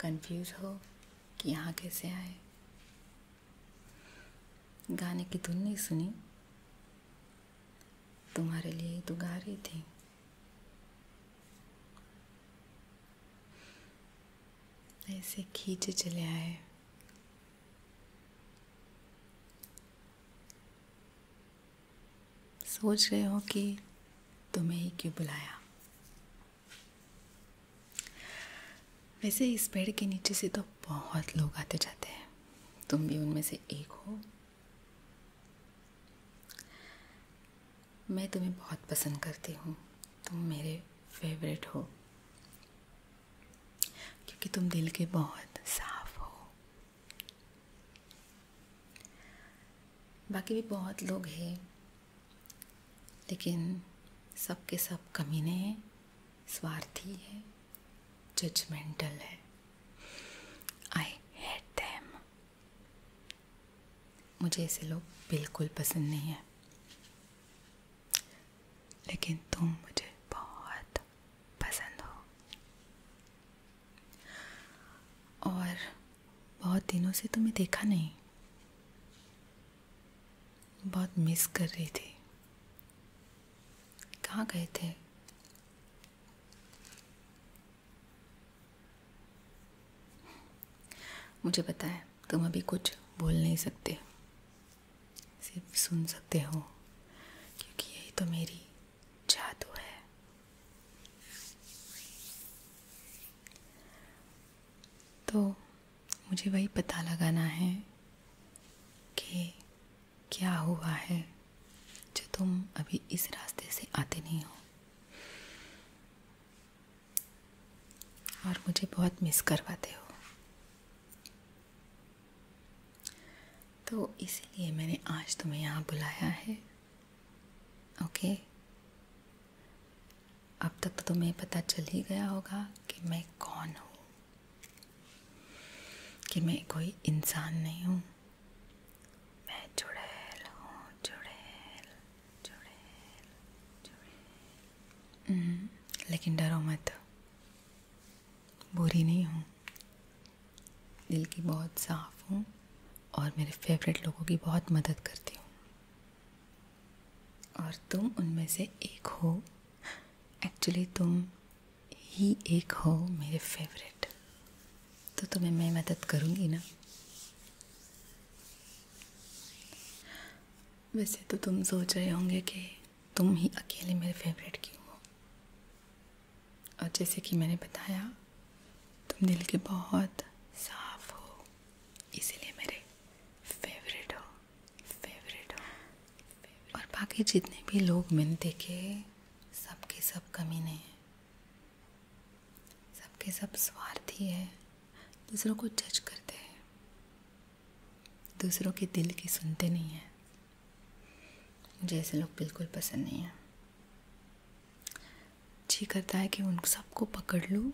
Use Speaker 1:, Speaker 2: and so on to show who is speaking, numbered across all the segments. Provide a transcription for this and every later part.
Speaker 1: Confuse हो कि यहाँ कैसे आए गाने की धुन तो नहीं सुनी तुम्हारे लिए तो गा रही थी ऐसे खींचे चले आए सोच रहे हो कि तुम्हें ही क्यों बुलाया वैसे इस पेड़ के नीचे से तो बहुत लोग आते जाते हैं तुम भी उनमें से एक हो मैं तुम्हें बहुत पसंद करती हूँ तुम मेरे फेवरेट हो क्योंकि तुम दिल के बहुत साफ हो बाकी भी बहुत लोग हैं लेकिन सब के सब कमीने हैं स्वार्थी है जजमेंटल है आई हेट देम मुझे ऐसे लोग बिल्कुल पसंद नहीं है लेकिन तुम मुझे बहुत पसंद हो और बहुत दिनों से तुम्हें देखा नहीं बहुत मिस कर रही थी कहाँ गए थे मुझे पता है तुम अभी कुछ बोल नहीं सकते सिर्फ सुन सकते हो क्योंकि यही तो मेरी जादू है तो मुझे वही पता लगाना है कि क्या हुआ है जो तुम अभी इस रास्ते से आते नहीं हो और मुझे बहुत मिस करवाते हो तो इसीलिए मैंने आज तुम्हें यहाँ बुलाया है ओके अब तक तो तुम्हें पता चल ही गया होगा कि मैं कौन हूँ कि मैं कोई इंसान नहीं हूँ हम्म, लेकिन डरो मत बुरी नहीं हूँ दिल की बहुत साफ़ हूँ और मेरे फेवरेट लोगों की बहुत मदद करती हूँ और तुम उनमें से एक हो एक्चुअली तुम ही एक हो मेरे फेवरेट तो तुम्हें मैं मदद करूंगी ना वैसे तो तुम सोच रहे होंगे कि तुम ही अकेले मेरे फेवरेट क्यों हो और जैसे कि मैंने बताया तुम दिल के बहुत साफ हो इसीलिए मेरे फेवरेट हो फेवरेट हो favorite. और बाकी जितने भी लोग मैंने देखे सबके सब कमी नहीं है सबके सब स्वार्थी है दूसरों को जज करते हैं दूसरों के दिल की सुनते नहीं हैं मुझे ऐसे लोग बिल्कुल पसंद नहीं हैं जी करता है कि उन सबको पकड़ लूँ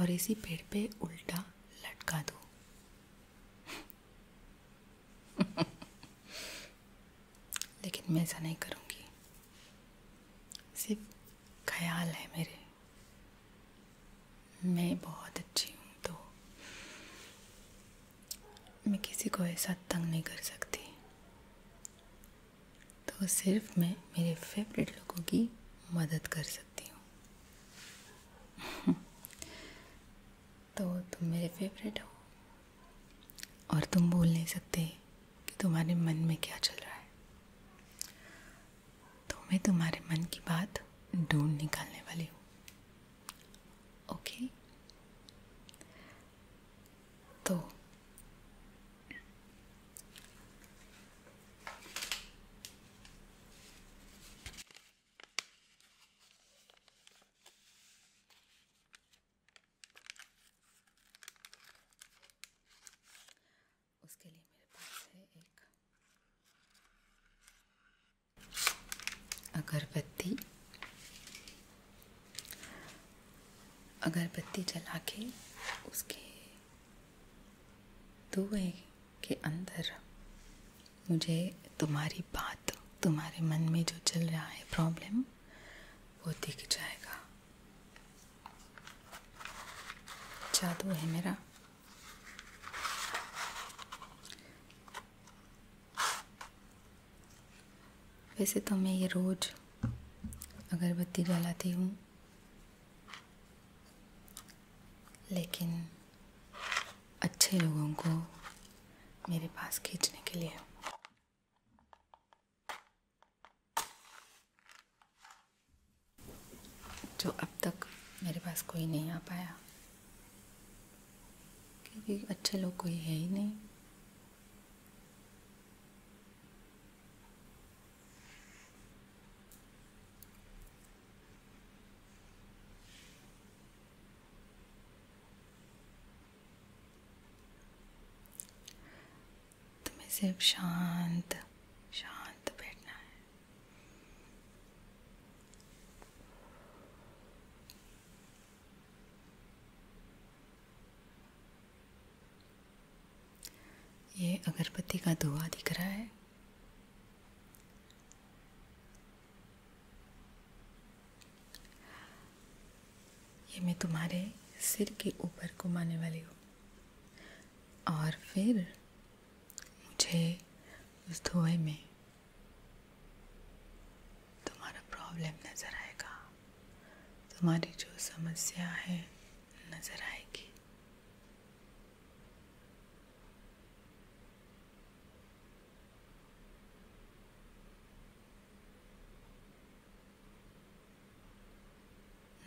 Speaker 1: और इसी पेड़ पे उल्टा लटका दूँ लेकिन मैं ऐसा नहीं करूँगी सिर्फ ख्याल है मेरे मैं बहुत अच्छी हूँ तो मैं किसी को ऐसा तंग नहीं कर सकती तो सिर्फ मैं मेरे फेवरेट लोगों की मदद कर सकती हूँ तो तुम मेरे फेवरेट हो और तुम बोल नहीं सकते कि तुम्हारे मन में क्या चल रहा है तो मैं तुम्हारे मन की बात ढूंढ निकालने वाली हूँ ओके तो उसके लिए अगरबत्ती अगरबत्ती जला के उसके धुए के अंदर मुझे तुम्हारी बात तुम्हारे मन में जो चल रहा है प्रॉब्लम वो दिख जाएगा जादू है मेरा वैसे तो मैं ये रोज़ अगरबत्ती जलाती हूँ लेकिन अच्छे लोगों को मेरे पास खींचने के लिए जो अब तक मेरे पास कोई नहीं आ पाया क्योंकि अच्छे लोग कोई है ही नहीं सिर्फ शांत शांत बैठना है ये अगरबत्ती का धुआं दिख रहा है ये मैं तुम्हारे सिर के ऊपर घुमाने वाली हूँ और फिर मुझे उस धुएं में तुम्हारा प्रॉब्लम नज़र आएगा तुम्हारी जो समस्या है नज़र आएगी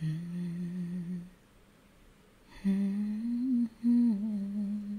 Speaker 2: हम्म, हम्म, हम्म,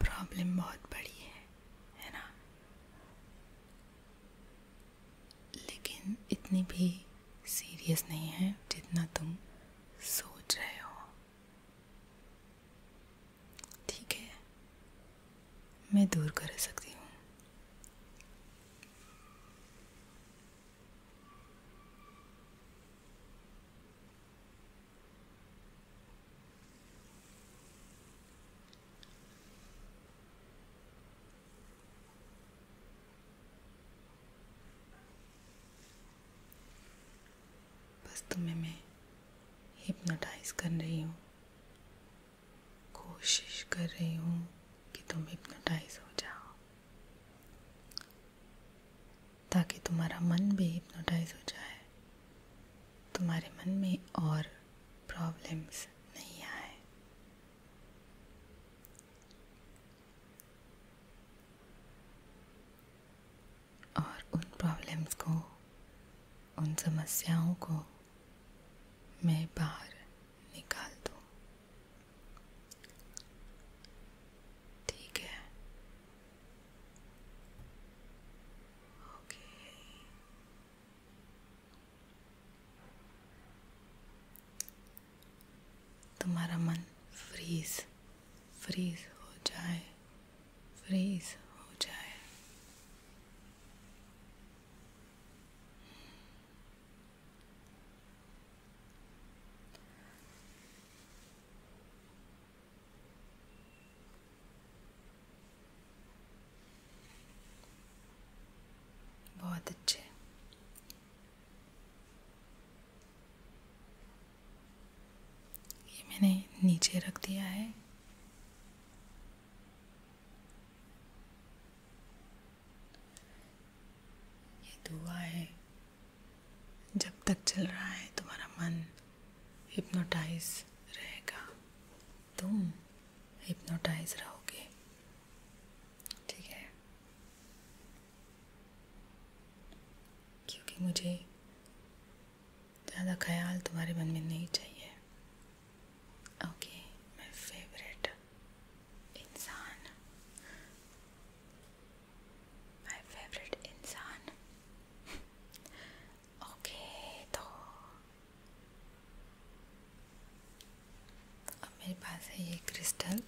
Speaker 1: प्रॉब्लम बहुत बड़ी है है ना लेकिन इतनी भी सीरियस नहीं है जितना तुम सोच रहे हो ठीक है मैं दूर कर सकती हूँ बस तुम्हें मैं हिप्नोटाइज कर रही हूँ कोशिश कर रही हूँ कि तुम हिप्नोटाइज हो जाओ ताकि तुम्हारा मन भी हिप्नोटाइज हो जाए तुम्हारे मन में और प्रॉब्लम्स नहीं आए और उन प्रॉब्लम्स को उन समस्याओं को मैं बाहर निकाल दूँ ठीक है तुम्हारा मन फ्रीज फ्रीज हो जाए फ्रीज हो जाए बहुत अच्छे मैंने नीचे रख दिया है ये धुआं है जब तक चल रहा है तुम्हारा मन हिप्नोटाइज रहेगा तुम हिप्नोटाइज रहोगे ठीक है क्योंकि मुझे ज़्यादा ख्याल तुम्हारे मन में नहीं चाहिए माय इंसान अब मेरे पास है ये क्रिस्टल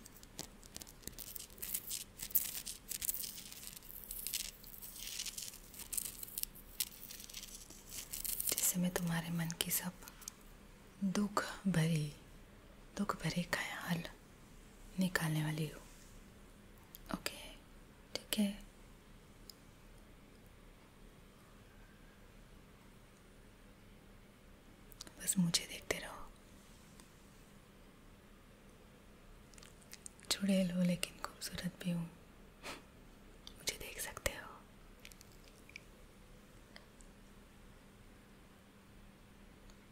Speaker 1: जिससे मैं तुम्हारे मन की सब दुख भरी दुख भरे ख्याल निकालने वाली हूँ ओके ठीक है बस मुझे देखते रहो चुड़ैल हो लेकिन खूबसूरत भी हूँ मुझे देख सकते हो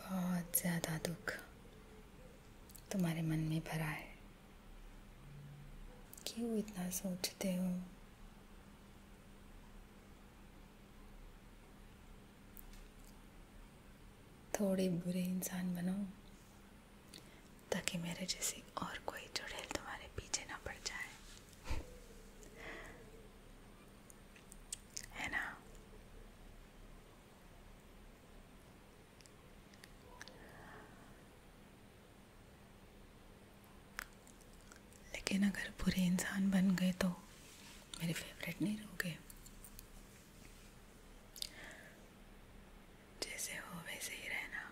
Speaker 1: बहुत ज़्यादा दुख तुम्हारे मन में भरा है क्यों इतना सोचते हो थोड़े बुरे इंसान बनो ताकि मेरे जैसे और कोई चुड़ैल तुम्हारे पीछे ना पड़ जाए लेकिन अगर बुरे इंसान बन गए तो मेरे फेवरेट नहीं रहोगे जैसे हो वैसे ही रहना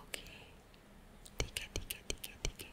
Speaker 1: ओके ठीक है ठीक है ठीक है ठीक है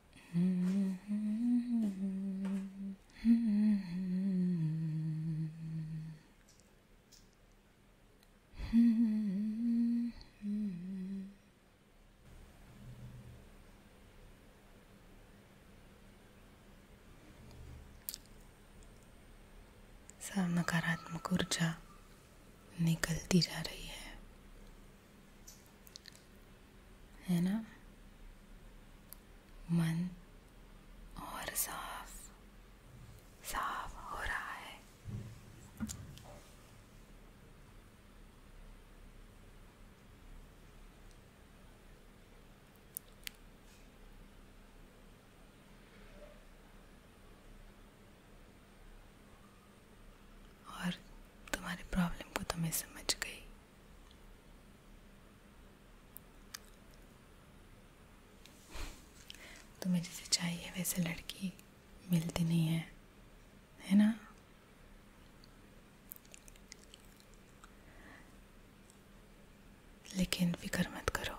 Speaker 1: नकारात्मक ऊर्जा निकलती जा रही है है ना मन और साफ साफ हो रहा है और तुम्हारी प्रॉब्लम को तुम्हें तो समझ गई तुम्हें तो जैसे चाहिए वैसे लड़की मिलती नहीं है है ना लेकिन फिक्र मत करो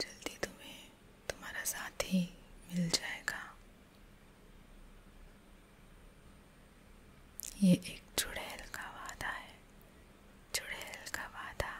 Speaker 1: जल्दी तुम्हें तुम्हारा साथ ही मिल जाएगा ये एक चुड़ैल का वादा है चुड़ैल का वादा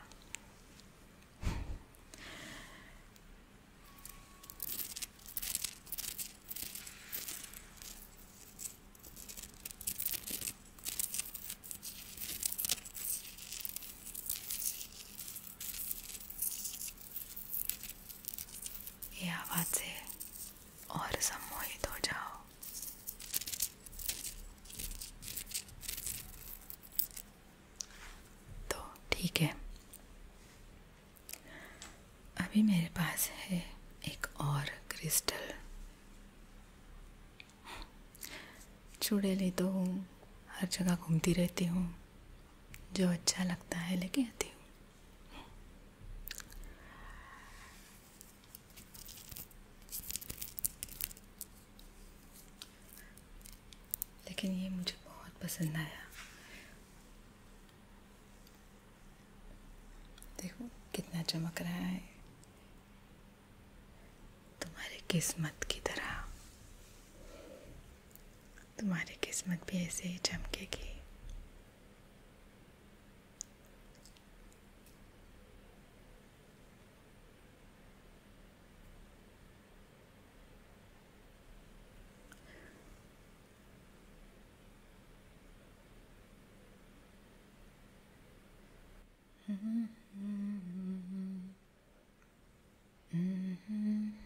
Speaker 1: आवाज़ से और सम्मोहित हो जाओ तो ठीक है अभी मेरे पास है एक और क्रिस्टल चुड़ैली तो हूँ हर जगह घूमती रहती हूँ जो अच्छा लगता है लेके आती हूँ लेकिन ये मुझे बहुत पसंद आया देखो कितना चमक रहा है तुम्हारी किस्मत की तरह तुम्हारी किस्मत भी ऐसे ही चमकेगी
Speaker 2: mm-hmm. Mm-hmm. Mm-hmm.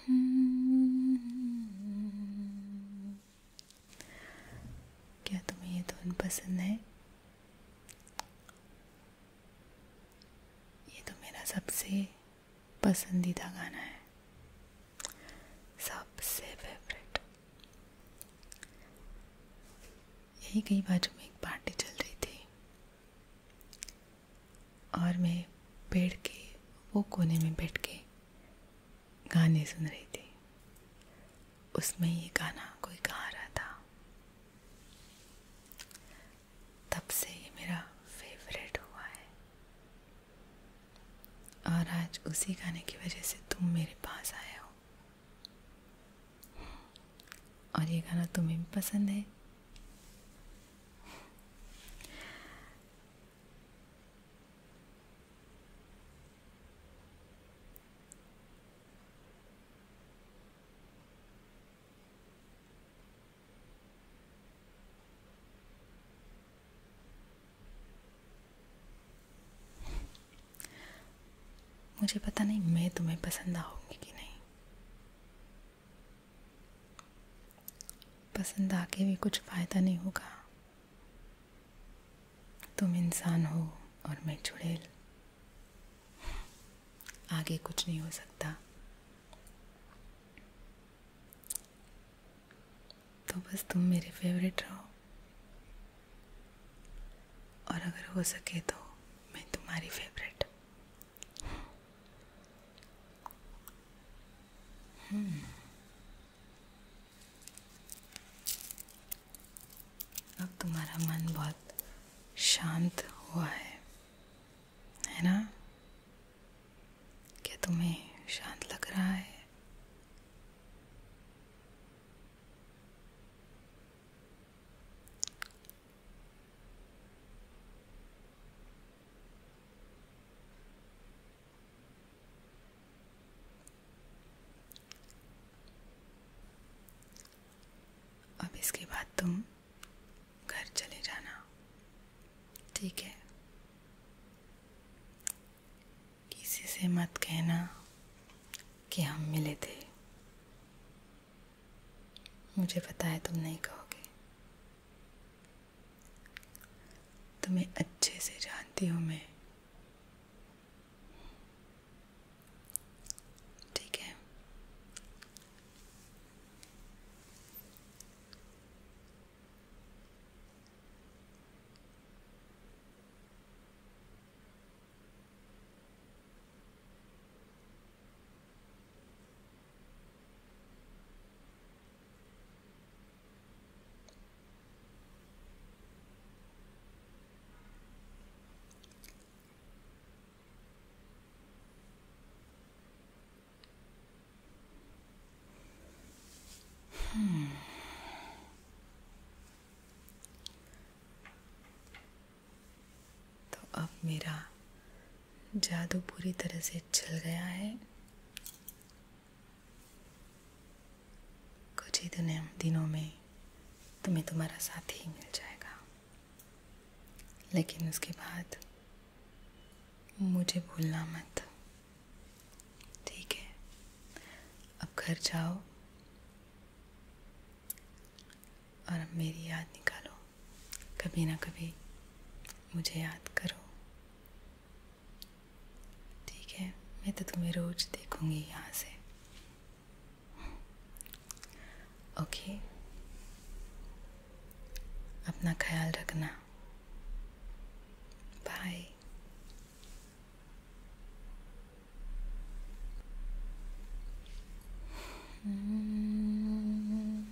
Speaker 2: Hmm. क्या तुम्हें ये धुन पसंद है
Speaker 1: ये तो मेरा सबसे पसंदीदा गाना है सबसे फेवरेट यही कई बाजू में एक पार्टी चल रही थी और मैं पेड़ के वो कोने में बैठ के गाने सुन रही थी उसमें ये गाना कोई गा रहा था तब से ये मेरा फेवरेट हुआ है और आज उसी गाने की वजह से तुम मेरे पास आए हो और ये गाना तुम्हें भी पसंद है मुझे पता नहीं मैं तुम्हें पसंद आऊँगी कि नहीं पसंद आके भी कुछ फ़ायदा नहीं होगा तुम इंसान हो और मैं चुड़ैल आगे कुछ नहीं हो सकता तो बस तुम मेरे फेवरेट रहो और अगर हो सके तो मैं तुम्हारी फेवरेट Hmm. अब तुम्हारा मन बहुत शांत हुआ है है ना क्या तुम्हें शांत लग रहा है अब इसके बाद तुम घर चले जाना ठीक है किसी से मत कहना कि हम मिले थे मुझे पता है तुम नहीं कहोगे तुम्हें अच्छे से जानती हूँ मैं ठीक है Hmm. तो अब मेरा जादू पूरी तरह से चल गया है कुछ ही दुनिया दिनों में तुम्हें तुम्हारा साथ ही मिल जाएगा लेकिन उसके बाद मुझे भूलना मत ठीक है अब घर जाओ और मेरी याद निकालो कभी ना कभी मुझे याद करो ठीक है मैं तो तुम्हें रोज देखूंगी यहाँ से ओके अपना ख्याल रखना
Speaker 2: बाय hmm.